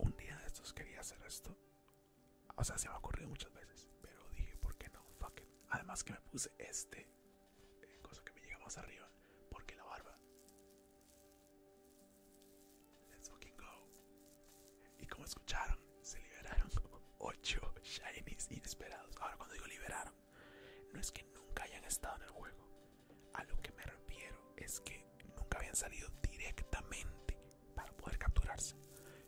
Un día de estos quería hacer esto. O sea, se me ha ocurrido muchas veces, pero dije, ¿por qué no? Además que me puse este, eh, cosa que me llega más arriba, porque la barba. Let's fucking go. Y como escucharon, se liberaron 8 shinies inesperados. Ahora, cuando digo liberaron, no es que nunca hayan estado en el juego, a lo que me refiero es que nunca habían salido directamente para poder capturarse.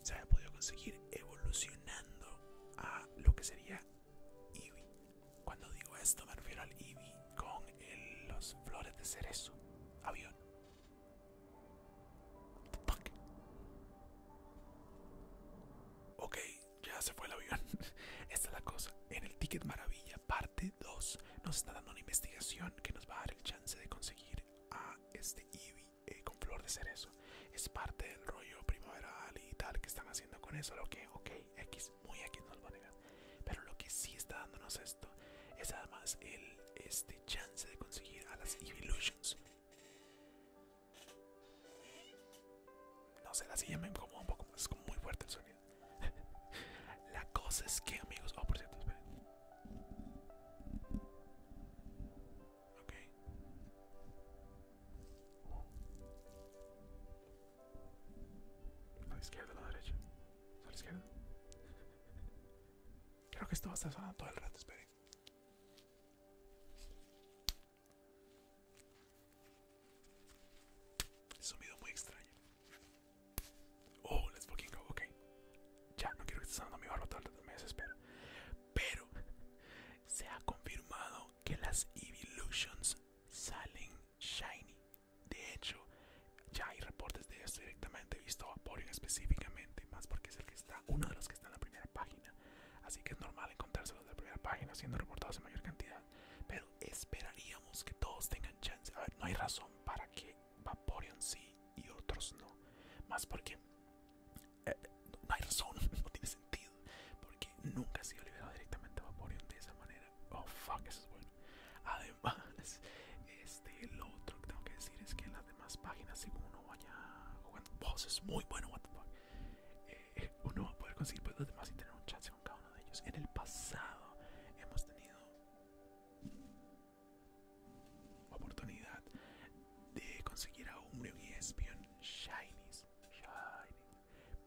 Se había podido conseguir evolucionando a lo que sería Eevee. Cuando digo esto me refiero al Eevee con los flores de cerezo. Avión. Ok, ya se fue el avión. Esta es la cosa. En el ticket maravilla para de 2 nos está dando una investigación que nos va a dar el chance de conseguir a este Eevee eh, con flor de cerezo. Es parte del rollo primaveral y tal que están haciendo con eso, lo que, ok, X, muy X nos va a negar. Pero lo que sí está dándonos esto es además el este chance de conseguir a las Eeveelutions. No se las llamen como un poco, es como muy fuerte el sonido. La cosa es que, amigos. Oh, por cierto, esperen. Ok. A la izquierda, a la derecha. A la izquierda. Creo que esto va a estar sonando todo el rato, esperen. Es un video muy extraño. Oh, let's fucking go, ok. Ya, no quiero que estés sonando mi barro, tal, me desespero. Pero se ha confirmado que las Evolutions salen shiny. De hecho, ya hay reportes de esto directamente. visto a Vaporeon específicamente, más porque es el que está, uno de los que está en la primera página. Así que es normal encontrárselos de la primera página, siendo reportados en mayor cantidad. Pero esperaríamos que todos tengan chance. A ver, no hay razón para que Vaporeon sí y otros no. Más porque eh, no hay razón, no tiene sentido. Porque nunca ha sido liberado directamente Vaporeon de esa manera. Oh, fuck, eso es bueno. Además, este, lo otro que tengo que decir es que en las demás páginas, según uno vaya jugando, boss es muy bueno, what the fuck uno va a poder conseguir pues, los demás y tener un chance con cada uno de ellos. En el pasado hemos tenido oportunidad de conseguir a un Espion Shinies.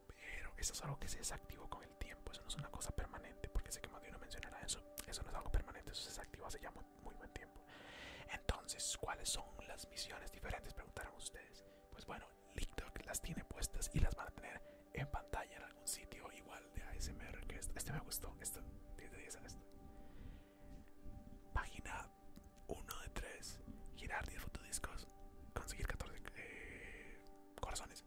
Pero eso es algo que se desactivó con el tiempo. Eso no es una cosa permanente. Porque sé que más de uno mencionará eso. Eso no es algo permanente. Eso se desactivó hace ya muy, buen tiempo. Entonces, ¿cuáles son las misiones diferentes? Preguntarán ustedes. Pues bueno, que las tiene puestas y las van a tener en pantalla en algún sitio igual de ASMR que este. Este me gustó, 10 este, de 10 a esto. Página 1 de 3, girar 10 fotodiscos, conseguir 14 eh, corazones,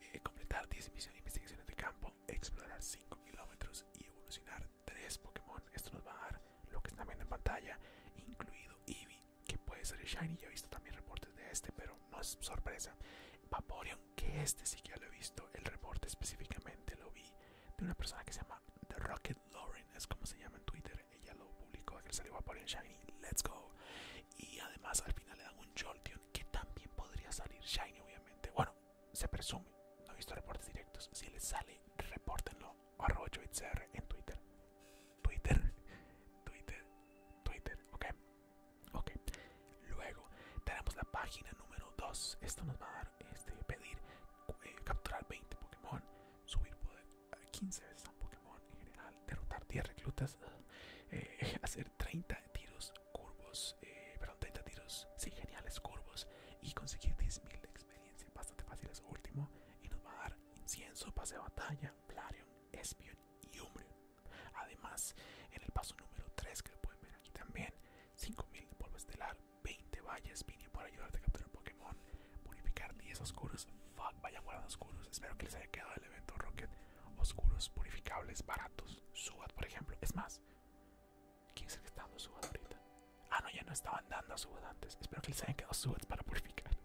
eh, completar 10 misiones investigaciones de campo, explorar 5 kilómetros y evolucionar 3 Pokémon. Esto nos va a dar lo que está viendo en pantalla, incluido Eevee que puede ser Shiny. Yo he visto también reportes de este, pero no es sorpresa. Vaporeon, que este sí que ya lo he visto. El reporte específicamente lo vi de una persona que se llama The Rocket Lauren, es como se llama en Twitter. Ella lo publicó, que salió Vaporeon Shiny. Let's go. Y además al final le dan un Jolteon que también podría salir Shiny, obviamente. Bueno, se presume. No he visto reportes directos. Si le sale, repórtenlo arrocho en Twitter. Twitter, Twitter, Twitter, ok. Luego tenemos la página número 2. Esto nos va a dar este, pedir eh, capturar 20 Pokémon, subir poder 15 eh, veces a un Pokémon en general, derrotar 10 reclutas, eh, hacer 30 tiros curvos, perdón, 30 tiros, sí, geniales curvos y conseguir 10.000 de experiencia. Bastante fácil es último y nos va a dar incienso, pase de batalla, Flareon, Espion y Umbreon. Además, en el paso número 3, que lo pueden ver aquí también, 5000 de polvo estelar, 20 vallas, Pinia para ayudarte a capturar Pokémon, purificar 10 oscuros, fuck, vaya de oscuros, espero que les haya quedado el evento Rocket, oscuros, purificables, baratos, Subat por ejemplo, es más, ¿quién es el que está dando Subat ahorita? Ah, no, ya no estaban dando a subs antes. Espero que les hayan quedado subes para purificar.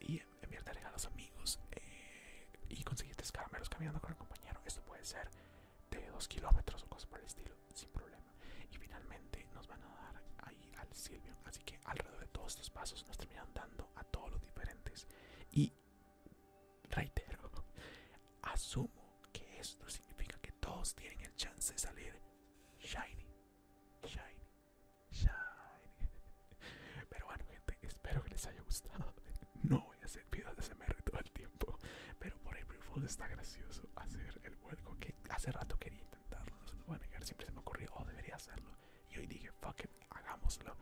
Y enviar a los amigos. Eh, y conseguir caramelos caminando con el compañero. Esto puede ser de dos kilómetros o cosas por el estilo. Sin problema. Y finalmente nos van a dar ahí al Silvio. Así que alrededor de todos estos pasos nos terminan dando a todos los diferentes. Y reitero, asumo que esto significa que todos tienen el chance de salir shiny. Shiny. Pero bueno, gente, espero que les haya gustado. No voy a hacer videos de SMR todo el tiempo, pero por April Fools está gracioso hacer el vuelco que hace rato quería intentarlo. negar, siempre se me ocurrió, o oh, debería hacerlo. Y hoy dije, fuck hagámoslo.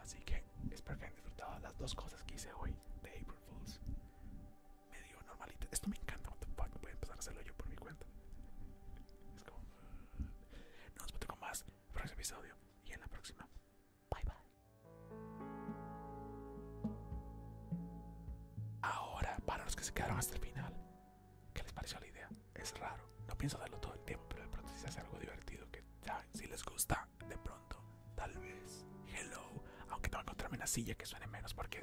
Así que espero que hayan disfrutado las dos cosas que hice hoy de April Fools normalito. Esto me encanta. Voy a empezar a hacerlo yo por mi cuenta. Es como. No uh, Nos vemos con más en el próximo episodio y en la próxima. Bye bye. Ahora, para los que se quedaron hasta el final, ¿qué les pareció la idea? Es raro. No pienso darlo todo el tiempo, pero de pronto si se hace algo divertido que ya, si les gusta, de pronto, tal vez. Hello. Aunque tengo que encontrarme una silla que suene menos porque.